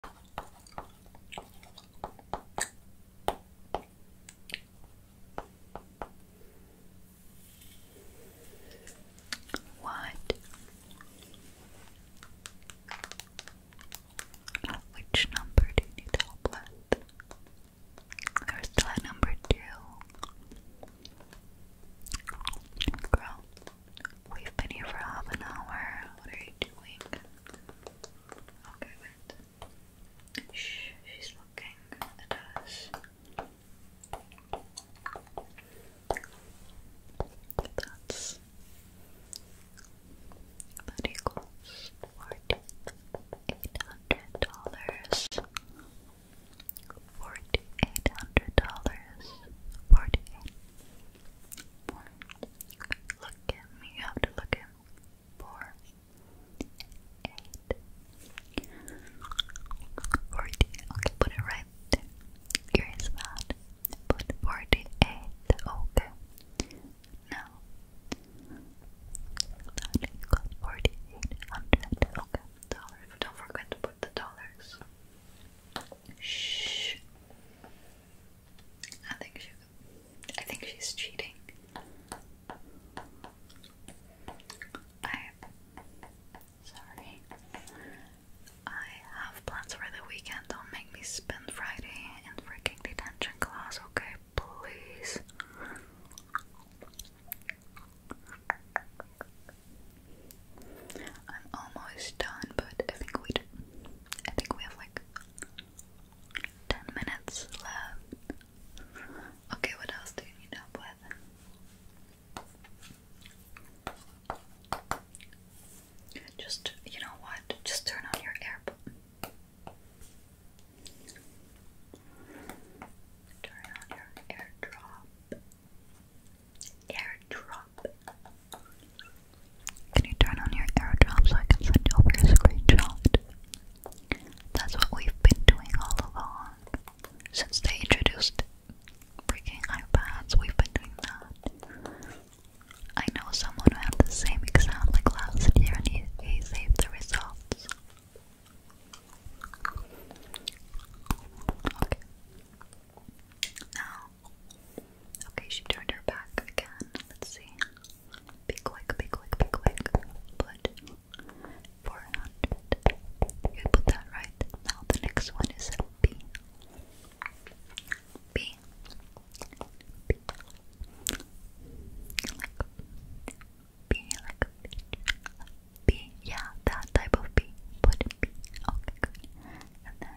What? Which number do you help with? There's that number two. Girl, We've been here for half an hour. What are you doing? Okay, oh, wait. Shh, she's looking at us. That's that equals forty eight hundred dollars. Forty eight hundred dollars. Forty eight Look at me. You have to look at Four. Eight. Okay, put it right there. Curious about. Put forty-eight. Okay. Now. forty-eight hundred. Okay. Dollar. Don't forget to put the dollars. Shh. I think she I think she's cheating. I sorry. I have plans for the weekend. Don't make me spend Friday in freaking detention class, okay? Please. I'm almost done, but I think we I think we have like 10 minutes left. Okay, what else do you need help with? Just, you know what? Just turn on your air. Turn on your airdrop. Airdrop. Can you turn on your airdrop so I can send over a screenshot? That's what we've been doing all along. Since they introduced freaking iPads, we've been doing that. I know someone who had the same exam last year and he, he saved the results. Okay. Now, Okay, she turned her back again. Let's see. Be quick, be quick, be quick. Put 400. You put that right. Now the next one is B. Like B, like B, yeah, that type of B. Put B. Okay, good. And then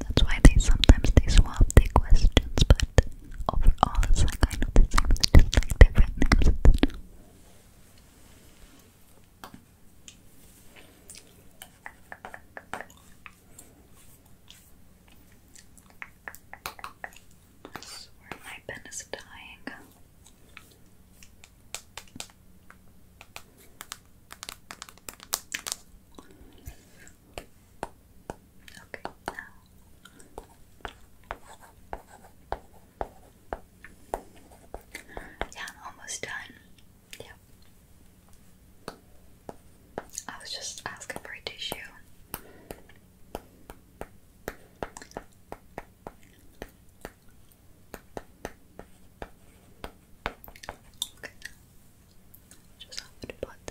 That's why they sometimes they swap the questions, but overall it's like kind of the same, it's just like different names. I swear my pen is dying. Okay, Yeah, i almost done. Yeah. I was just asking for a tissue. Okay just have to put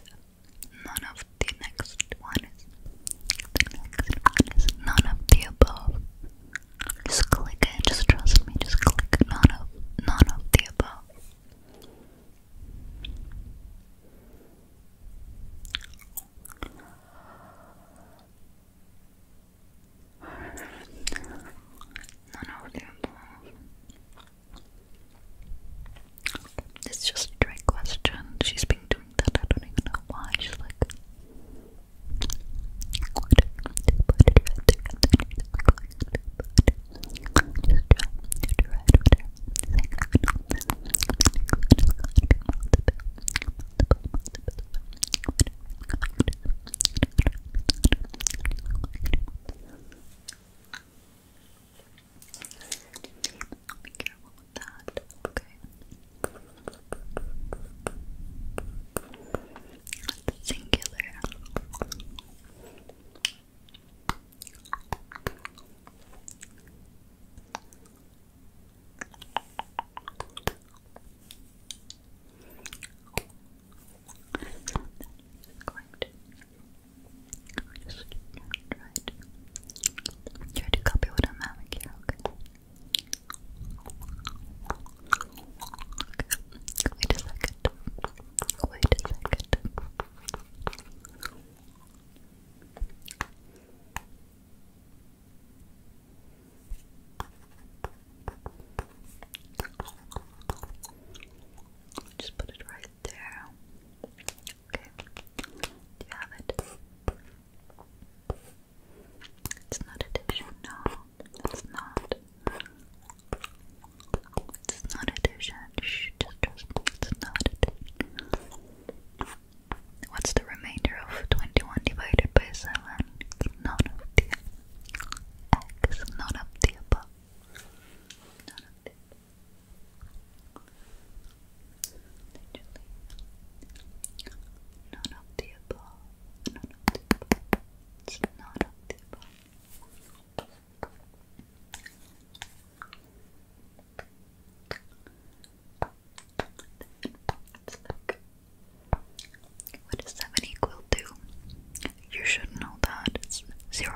none of the next one none of the above. Just click it, just trust me, just click none of none of the above. None of the above. It's just a drag question. She's been doing that. I don't even know why. She's like, be careful with that, okay? Singular. Going just try to to copy what I'm having here, Okay. Wait a second. Wait a second. Just put it right there. Okay, do you have it? It's not a no, it's not. It's not a Shh, just trust it's not a What's the remainder of 21 divided by 7? none of the x, none of the None of the Literally, none of the above. None of the above. It's none of the above. let 7 equal to? You should know that. It's 0.0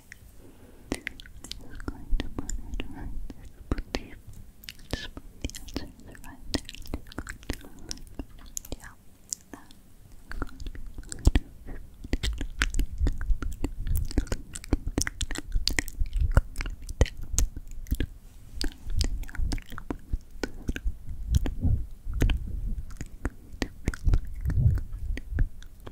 I'm just going to put it right there. Put the, just put the answers right there. Just going to look. Yeah. That's going to be good. It's going to be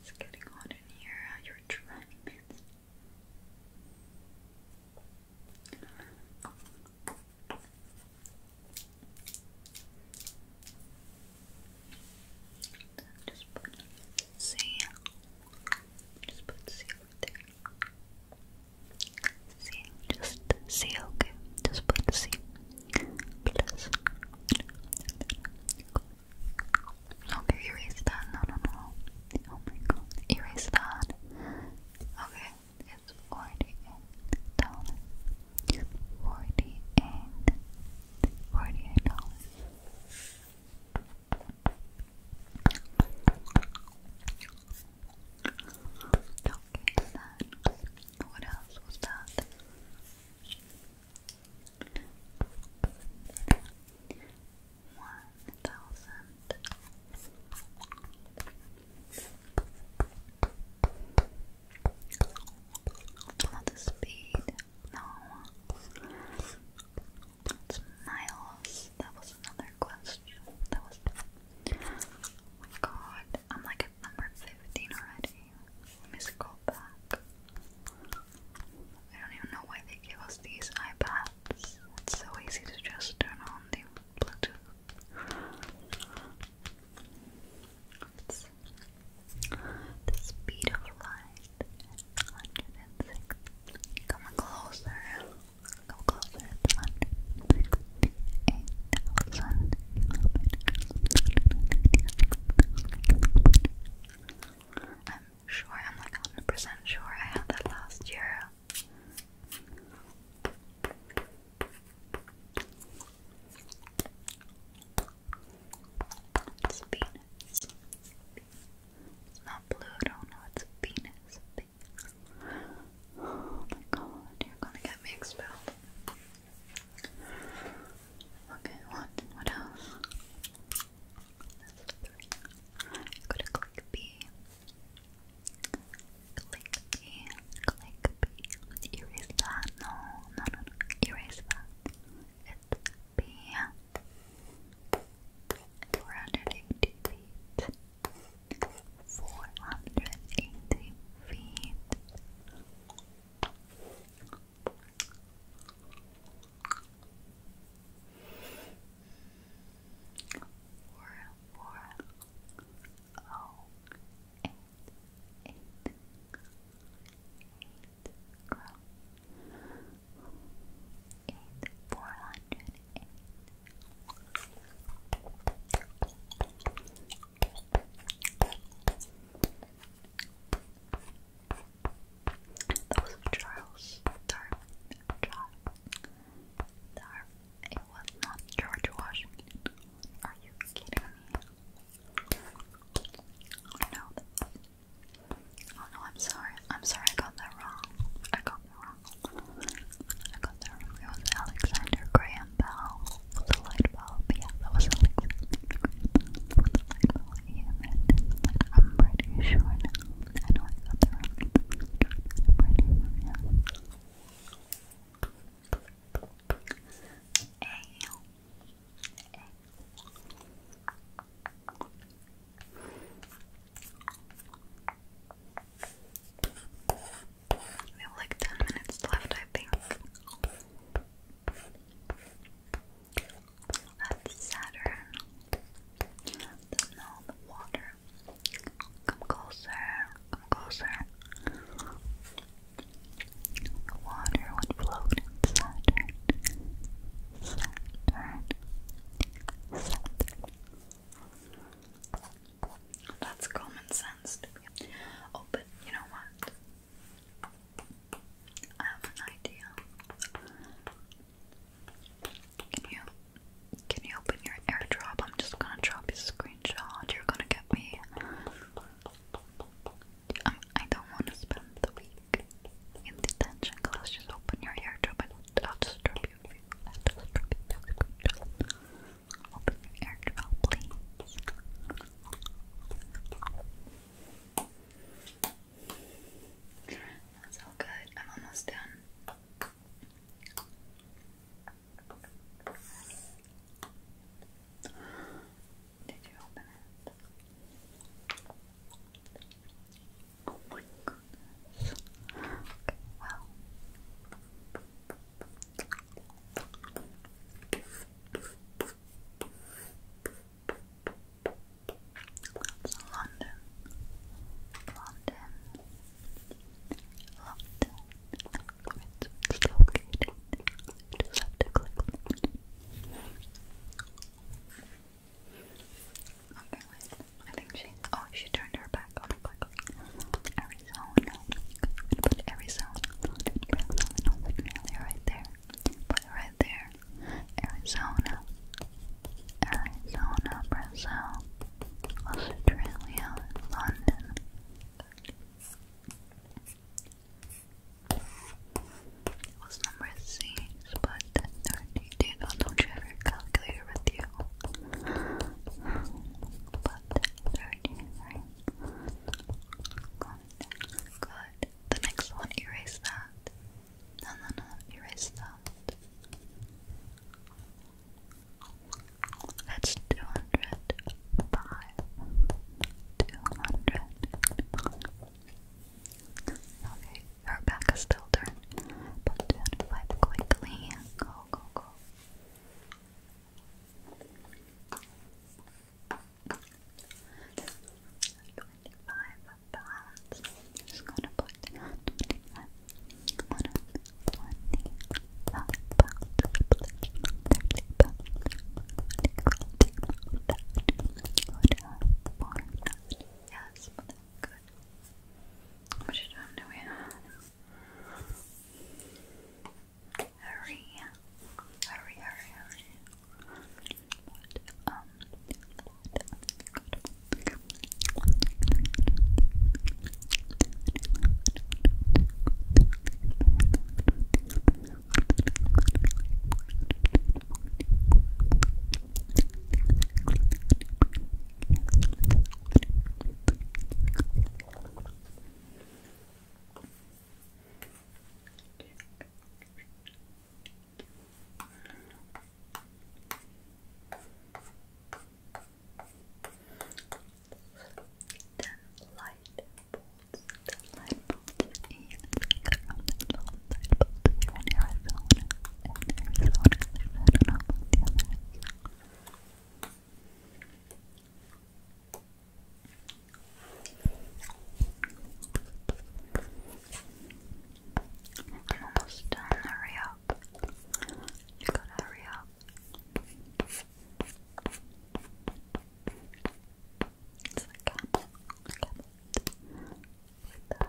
It's getting hot in here. Uh, You're trying it. Just put C. Just put C there. C. Just C, okay. Just put C. Plus. Okay, erase that. No, no, no. Oh my god. Erase that. Okay, it's 48 dollars. 48. 48 dollars. Okay, what else was that? one thousand not speed, no miles, that was another question that was, oh my god I'm like a number 15 already. Let me scroll back. I don't even know why they gave us these iPads. It's so easy to just turn on the Bluetooth. the speed of light 106. Come closer. Come closer. It's I'm sure, I'm like 100% sure I had that last year. It's a It's not Pluto, no, it's a Oh my god, you're gonna get me expelled. Okay, what? What else? Go to click B. Click B. Click B. Erase that. No, no, no, no. Erase that. It's B. 480 feet. 480 feet. Four, four, oh, eight, eight, eight, girl. Eight, four hundred eight. That was Charles Darwin. It was not George Washington. Are you kidding me? I know Oh no, I'm sorry. I'm sorry I got that wrong. I got that wrong. I got that wrong. It was Alexander Graham Bell with the light bulb. Yeah, that was Alexa. light bulb, yeah, I'm pretty sure I know I got the wrong I'm We have like 10 minutes left, I think. That's Saturn. The known water. Come closer, come closer. The water would float in Saturn. That's common sense Oh, but you know what? I have an idea. Can you can you open your airdrop? I'm just gonna drop you a screenshot. You're gonna get me. Um, I don't want to spend the week in detention class. Just open your airdrop and I'll just drop you. I'll just drop you. Open your airdrop, please. That's all good. I'm almost done. Did you open it? Oh my goodness. Okay, well. London. London. London. Okay, I think she. Oh, she turned her back on the click. Arizona sound. I'm gonna put every sound on the trailer right there. Put it right there. Arizona. Arizona, Brazil. Australia, London. It was number six, but 32. Don't you have your calculator with you? But 33. Go Good. The next one, erase that. No, no, erase that. That's 205. 200. Okay, her back is still turned. But 205 quickly. Go, go, go pounds. Just gonna put twenty-five. One twenty-five pounds. Thirty pounds. Good. Four. Yes, good. How much time do we Hurry, hurry, hurry, hurry light bolts, ten light bolts in Colorado, light bolts here in Arizona, and Arizona is I don't know about the I'm almost done. Hurry up. You gotta hurry up. It's the camel. The camel. With that,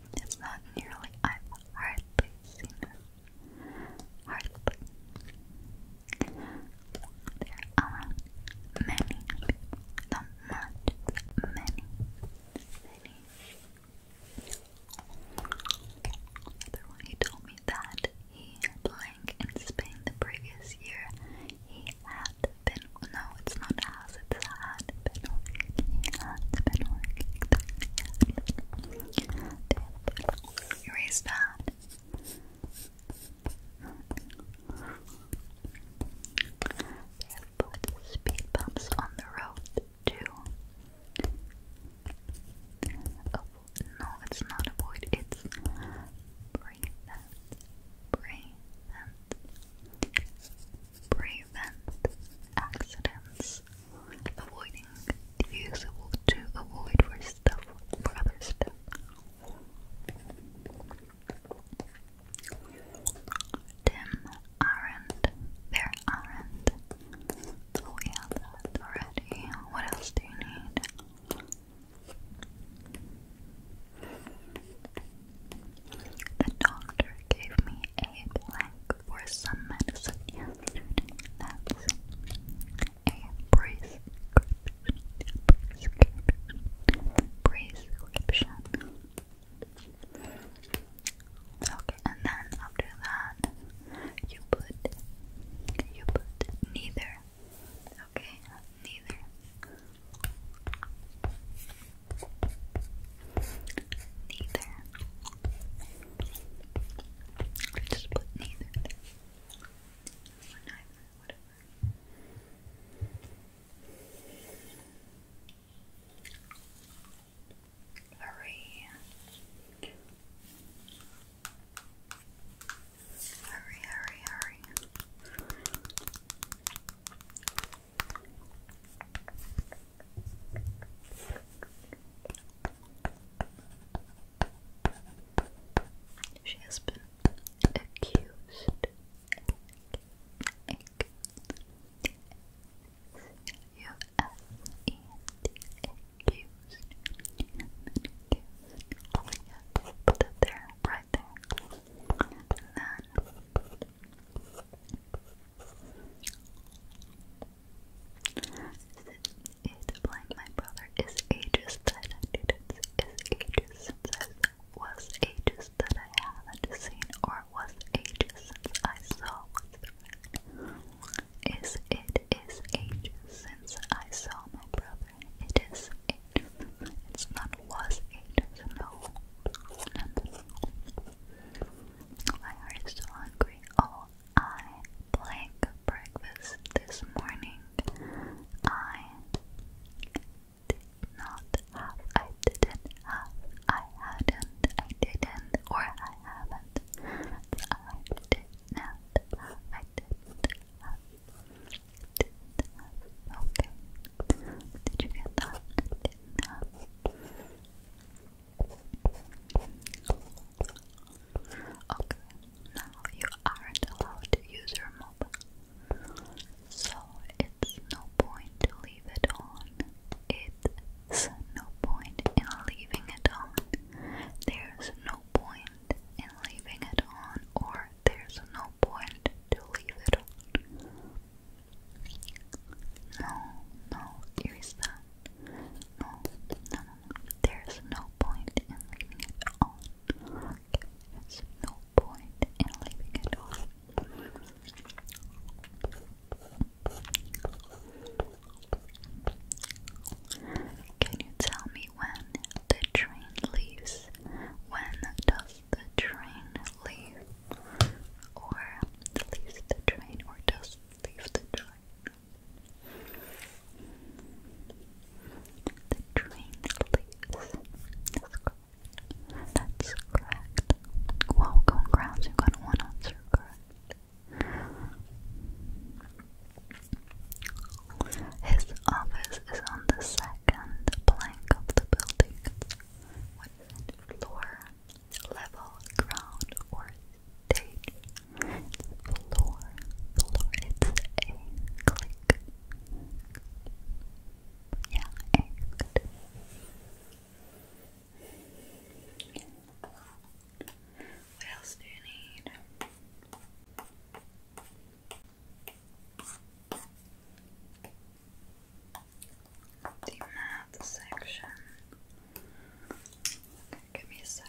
It's not nearly, I've hardly seen it. Hardly. There are many, not much, many, many. Other one, he told me that he blank in Spain the previous year. He had been, no, it's not house. It's hot. Been working. Hot's been working. Erase that. They put speed bumps on the road too. Oh, no, it's not avoid. It's breathe that. Breathe that prevent accidents, avoiding the to avoid for stuff for other stuff. Tim aren't there aren't. Oh yeah, that already. What else do you need? The doctor gave me a blank for some medicine That's a prescription. Prescription. Okay, and then after that, you put you put neither. Okay, neither. Neither. I just put neither, whatever. Hurry. Hurry, hurry, hurry. She has been accused. You accused. accused. Oh my put that there, right there. It blank my brother is ages that I didn't ages since I was ages that I have seen or was ages since I saw Is it is ages since I saw my brother. It is It's not was ages, no. Why are you hungry? Oh, I blank breakfast this morning. I did not have, I didn't have, I hadn't, I didn't, or I haven't. I did not I didn't didn't Okay. Did you get that? Okay, now you aren't allowed to use your mobile, so it's no point to leave it on. It's no point in leaving it on. There's no point in leaving it on, or there's no point to leave it on. No, no, erase that. No, no, There's no point in leaving it on. There's no point in leaving it on. Can you tell me when the train leaves? When does the train quietly or leaves the train or does leave the train. The train leaves. That's correct. That's correct. you got one answer correct. His office is on the second plank of the building. What is Floor level, ground, or stage. floor, floor, it's a click. Yeah, good. What else do you need? the math section. Okay, give me a sec.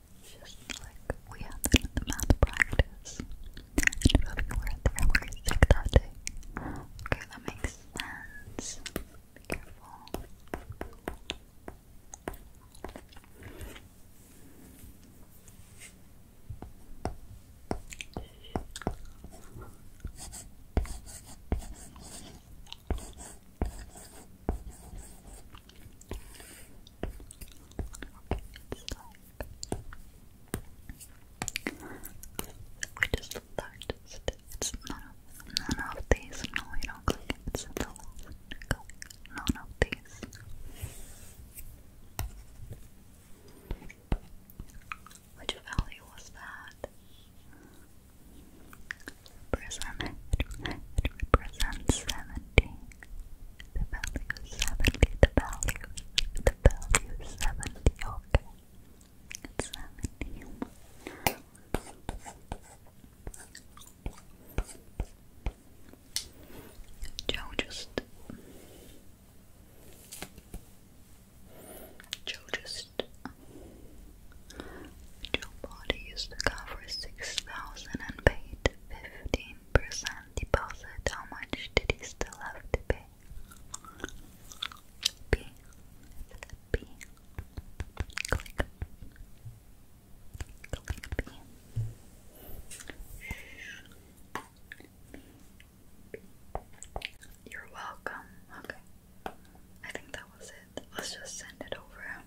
just like we had the math practice. And if you were there where you sick that day. Okay, that makes sense. Be careful. Which is the It's none of, these. No, you don't click it. It's the last click. of these. Which valley was that? Prison. It represents seven the value seventy, the value, the value seventy, okay, seventy. Joe just Joe just Joe body used the six thousand and paid fifteen deposit, how much did you still have to pay? P. P. You're welcome. Okay. I think that was it. Let's just send it over.